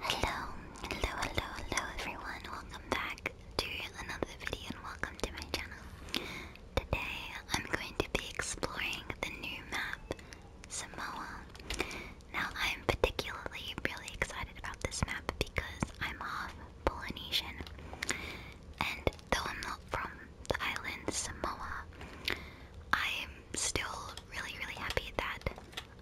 Hello, hello, hello, hello everyone. Welcome back to another video and welcome to my channel. Today I'm going to be exploring the new map, Samoa. Now I'm particularly really excited about this map because I'm half Polynesian. And though I'm not from the island Samoa, I'm still really, really happy that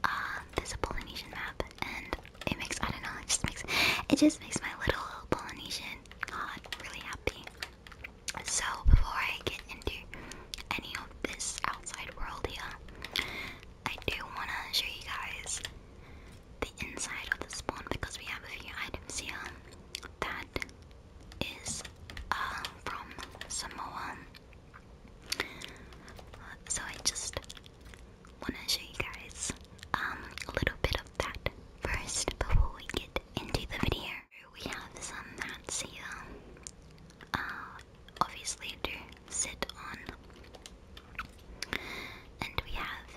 uh, there's a Polynesian map, and it makes I don't know, it just makes it just makes my little Polynesian god really happy. So before I get into any of this outside world here, I do wanna show you guys the inside of the spawn because we have a few items here that is uh, from Samoa. So I just want to show you guys um, a little bit of that first before we get into the video. We have some mats here. Uh, obviously to sit on. And we have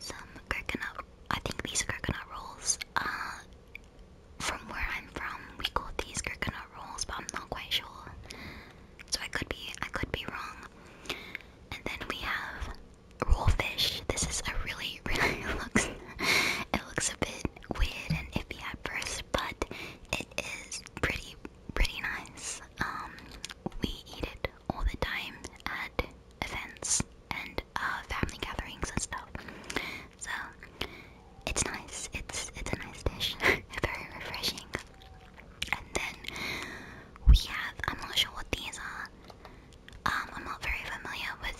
some coconut, I think these are coconut rolls. Uh, from where I'm from, we call these coconut rolls, but I'm not quite sure. So I could be I could be wrong. And then we have rollfish. This is a really really looks it looks a bit weird and iffy at first, but it is pretty pretty nice. Um we eat it all the time at events and uh, family gatherings and stuff. So it's nice. It's it's a nice dish. Very refreshing. And then we have, I'm not sure what these are. Um, I'm not very familiar with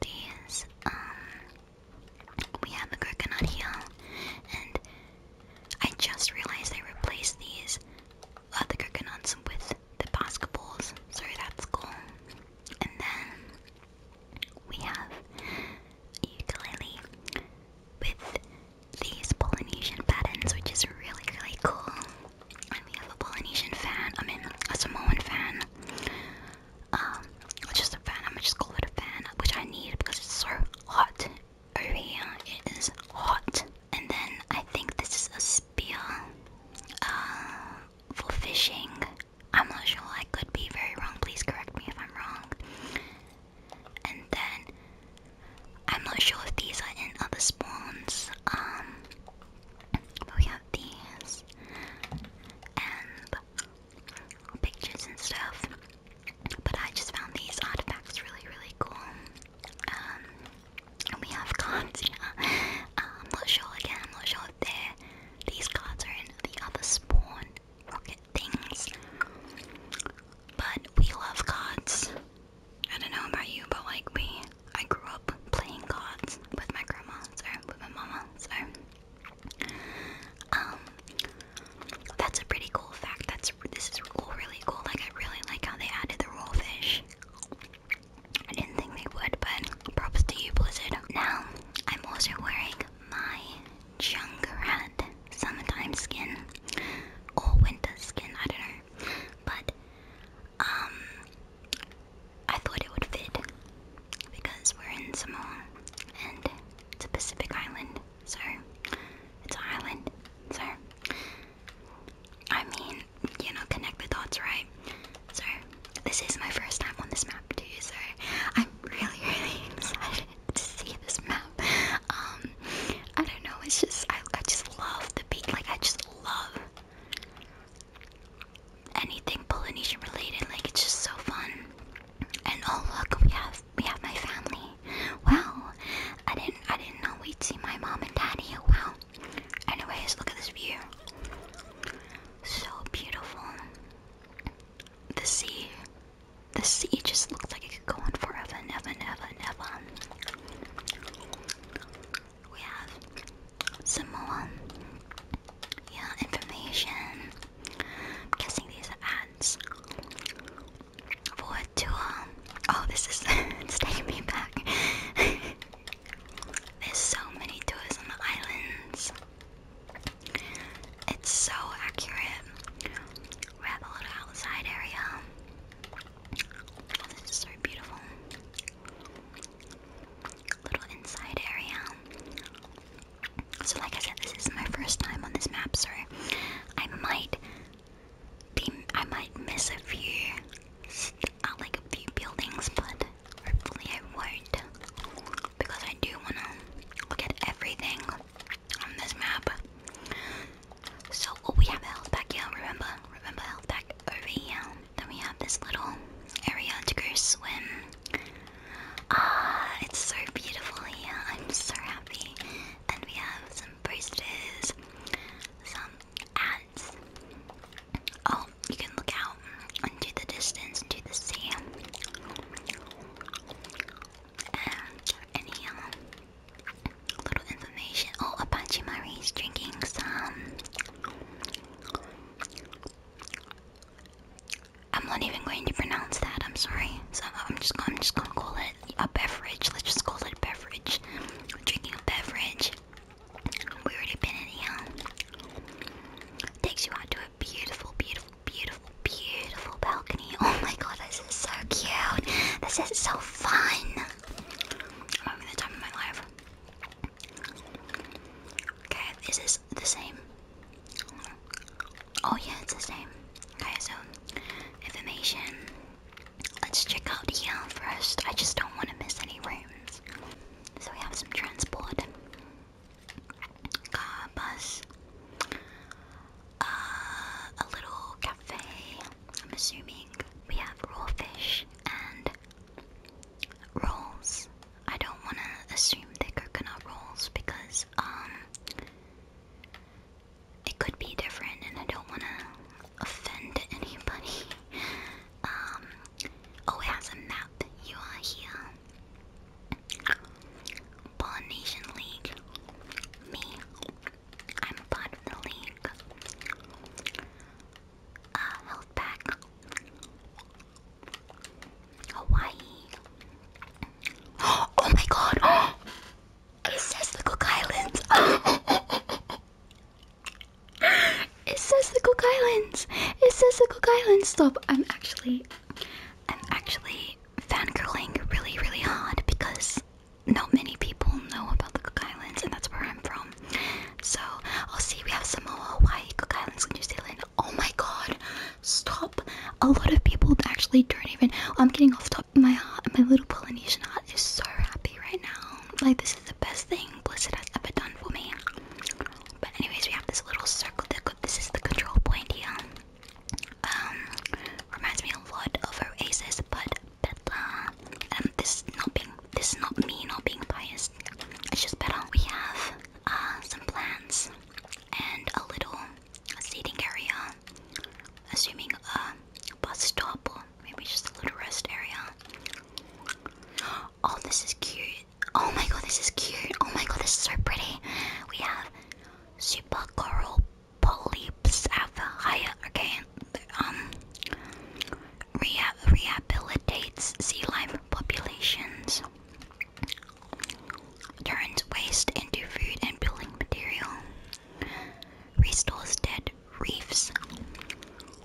these. Um, we have a coconut here, and I just realized they replaced these, uh, the coconuts with the basketballs, Sorry, that's cool. And then we have a ukulele with these Polynesian patterns, which is really, really cool. And we have a Polynesian fan, I mean, a Samoan fan. Um, or just a fan, I'm gonna just call it a fan, which I need because it's so hot over here. It is hot. And then I think this is a spear uh, for fishing. I'm not sure, I could be very wrong. Please correct me if I'm wrong. And then I'm not sure if these are in other spawns. Um, we have these and pictures and stuff. But I just found these artifacts really, really cool. Um, and we have cards. Um, I'm not sure again. I'm not sure if they're these cards are in the other spawn things. But we love gods. I don't know about you, but like me, I grew up playing cards with my grandma, so with my mama, so. Um, that's a pretty cool fact. That's this is cool, really cool. Like I really like how they added the raw fish. I didn't think they would, but props to you, Blizzard. Now I'm also wearing my Junkrat summertime skin or winter skin, I don't know. But um I thought it would fit because we're in Samoa and it's a Pacific island, so it's an island. So I mean, you know, connect the dots, right? So this is my first time on this map too, so I'm really, really excited to see this map. Um, I don't know. It's just I, I just love the beach. Like I just love anything Polynesian related. Like it's just so fun. And oh look, we have we have my family. Wow, I didn't I didn't know we'd see my mom and daddy. Wow. Anyways, look at this view. So beautiful. The sea the sea just looked like it could go on forever and ever and ever and ever. We have some more yeah, information. I'm guessing these are ads for a tour. Oh, this is it's taking me back. There's so many tours on the islands. It's so accurate. Grab a little outside area. this is so beautiful. Little inside area. So, like I said, this is my first time on this map, so I might be I might miss a few, uh, like a few buildings, but hopefully I won't because I do wanna look at everything on this map. So, oh, we have a health pack, yeah, remember? Remember health pack over here. Then we have this little area to go swim. Ah, it's so beautiful here. I'm so happy. And we have some posters, some ads. Oh, you can look out into the distance, into the sea. And any little information. Oh, Apache Marie's drinking some. I'm not even going to pronounce that. I'm sorry. So I'm just gonna call it a beverage. Let's just call it a beverage. Drinking a beverage. We already been in here. Takes you out to a beautiful, beautiful, beautiful beautiful, balcony. Oh my god, this is so cute. This is so fun. i of my life. Okay, is this the same? Oh yeah, it's the same. Okay, so information. Let's check out the first. I just don't want to miss any rooms. So we have some transport. Car, bus. Uh, a little cafe. I'm assuming we have raw fish and rolls. I don't want to assume they're coconut rolls because um, it could be different, and I don't want to offend anybody. Um, oh, it has a map. You are here. Polynesian League. Me. I'm a part of the league. Uh, health pack. Hawaii. Oh my god! It says the Cook Islands! It says the Cook Islands! It says the Cook Islands! Stop! I'm actually. I'm actually fangirling really, really hard because not many people know about the Cook Islands, and that's where I'm from. So, I'll see. We have Samoa, Hawaii, Cook Islands, New Zealand. Oh my god, stop! A lot of people actually don't even. I'm getting off top. My heart, my little Polynesian heart is so happy right now. Like, this is the best thing Blizzard has ever done for me. But, anyways, we have this little circle. That, this is the control point here. Um, reminds me a lot of Oasis, but better. And um, this is not being, this not me not being biased. It's just better. We have uh, some plants and a little seating area, assuming a bus stop or maybe just a little rest area. Oh, this is cute. Oh my god, this is cute. Oh my god, this is so pretty. We have super coral polyps have higher okay, um rehab rehabilitates sea life populations, turns waste into food and building material, restores dead reefs.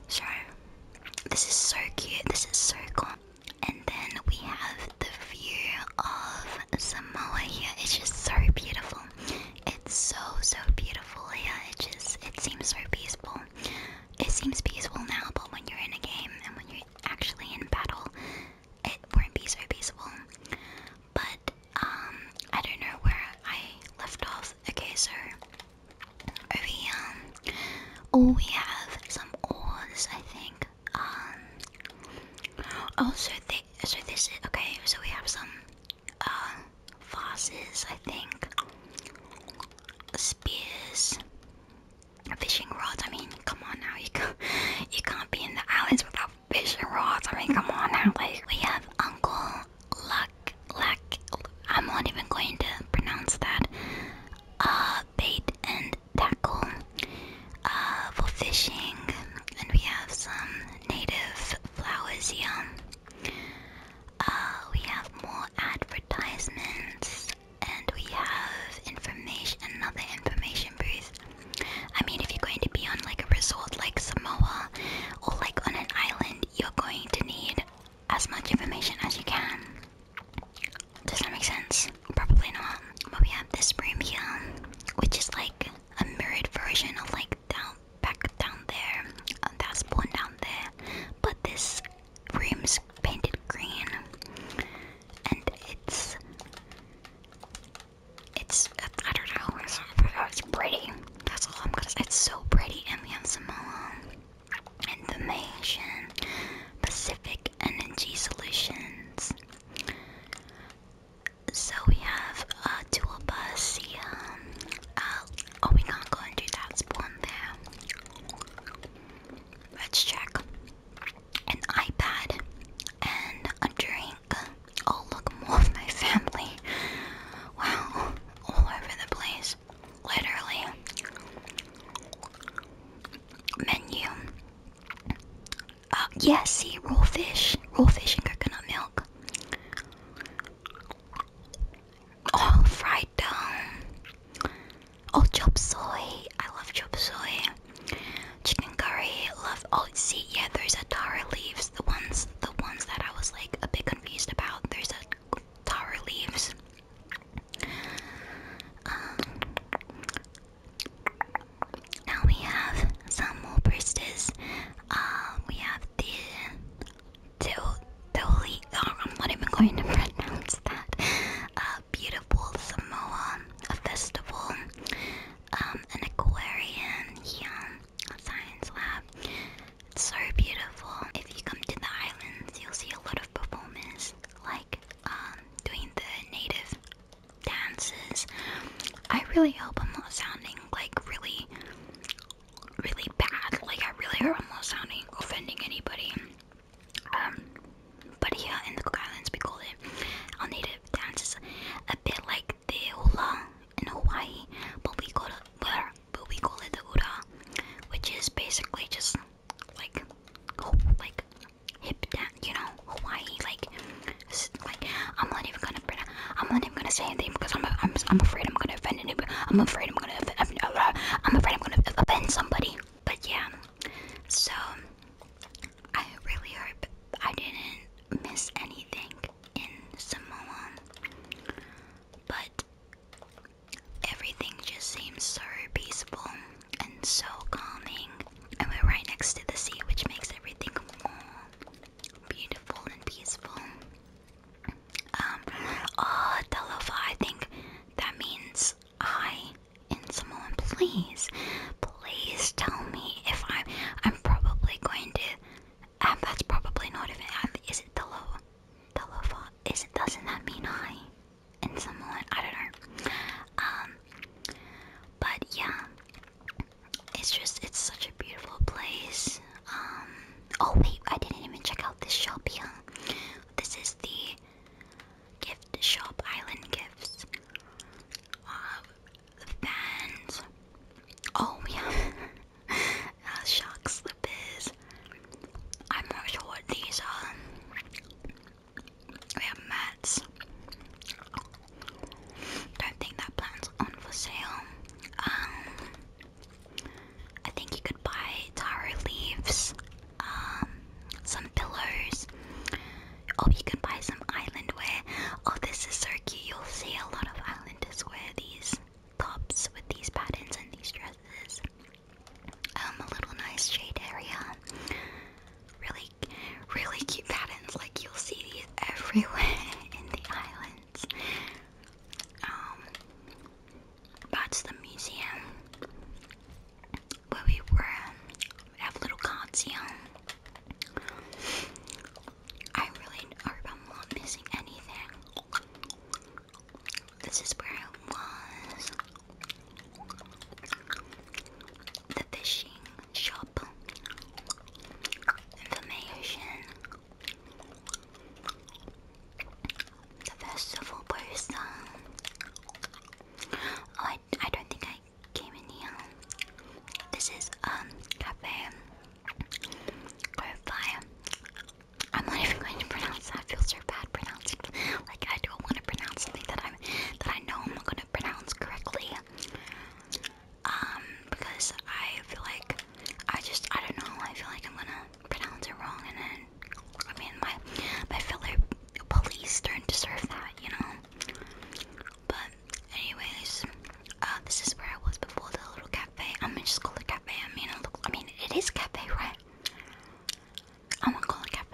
So this is so cute. This is so cool. And then we have the view of Samoa here. It's just so beautiful. It's so so beautiful. Yeah, it just it seems so peaceful. It seems peaceful now, but when you're in a game and when you're actually in battle, it won't be so peaceful. But um, I don't know where I left off. Okay, so over here, oh, we have some ores, I think. Um, also, oh, so they, so this is okay. So we have some uh, vases, I think, spears, fishing rods. I mean, come on now, you can't, you can't be in the islands without fishing rods. I mean, come on now. Like we have Uncle Luck, Luck. I'm not even going to pronounce that. Uh, bait and tackle uh, for fishing, and we have some native flowers here. Uh, we have more advertisements and we have information, another information booth. I mean, if you're going to be on like a resort like Samoa or like on an island, you're going to need as much information as you can. Does that make sense? Probably not. But we have this room here, which is like a mirrored version of like down, back down there. And uh, that's one down there. But this room's painted green, and it's it's I don't know. It's, pretty. That's all I'm gonna say. It's so pretty, and we have Samoa um, Information, Pacific Energy Solutions. So we have a dual bus here. Uh, um, oh, we can't go and do that spawn there. Let's check. An iPad and a drink. I'll look, more of my family. Wow, all over the place. Literally. Menu. Uh, um, yes, see, raw fish, raw fish and coconut milk. Oh, fried dough. Oh, chop soy. I love chop soy. Chicken curry. Love. Oh, see, yeah, there's a tara leaves. The ones, the ones that I was like a bit confused about. There's a tara leaves. Um, now we have some more bristles. Uh, we have the till Toli. Oh, I'm not even going to pronounce that. Uh, beautiful Samoa, festival, um, an aquarium, yeah, a science lab. It's so beautiful. If you come to the islands, you'll see a lot of performers like um, doing the native dances. I really hope I'm not sounding like really, really bad. Like I really hurt almost sounding offending anybody. Um, but here in the Cook Islands, we call it our native dance is a bit like the hula in Hawaii, but we call it but we call it the uda, which is basically just like like hip dance, you know, Hawaii like like I'm not even gonna I'm not even gonna say anything because I'm I'm I'm afraid I'm gonna offend anybody. I'm afraid I'm gonna offend I'm afraid I'm gonna offend somebody. But yeah, so I really hope I didn't miss anything in Samoa. But everything just seems so peaceful and so calming, and we're right next to the sea, which makes everything more beautiful and peaceful. Um, oh, Talova, I think that means I in someone. Please, please tell me if I'm. I'm probably going to. Um, that's probably not even. Um, is it Talova? Talova? Is it? Doesn't that mean I in someone? I don't know. Um, but yeah it's just it's such a beautiful place. Um oh wait, I didn't even check out this shop here. This is the gift shop island gifts. Uh, fans. Oh yeah. uh, shock slippers. I'm not sure what these are. We have mats. Don't think that plan's on for sale. Um, I think you could buy taro leaves, um, some pillows, or you can buy some island wear. Oh, this is so cute! You'll see a lot of islanders wear these tops with these patterns and these dresses. Um, a little nice shade area. Really, really cute patterns. Like you'll see these everywhere in the island that's um, the museum where we were. have little cards I really hope I'm not missing anything. This is where I was. The fishing shop. Information. The vegetable person. Oh, I, I don't think I came in here. This is um cafe Grove I'm not even going to pronounce I feel so bad pronouncing. Like I don't want to pronounce something that I'm that I know I'm not going to pronounce correctly um, because I feel like I just I don't know. I feel like I'm gonna pronounce it wrong, and then I mean my my fellow police don't deserve that, you know. But anyways, uh, this is where I was before the little cafe. I'm gonna just call it cafe. I mean, I, look, I mean it is cafe, right? I'm gonna call it cafe.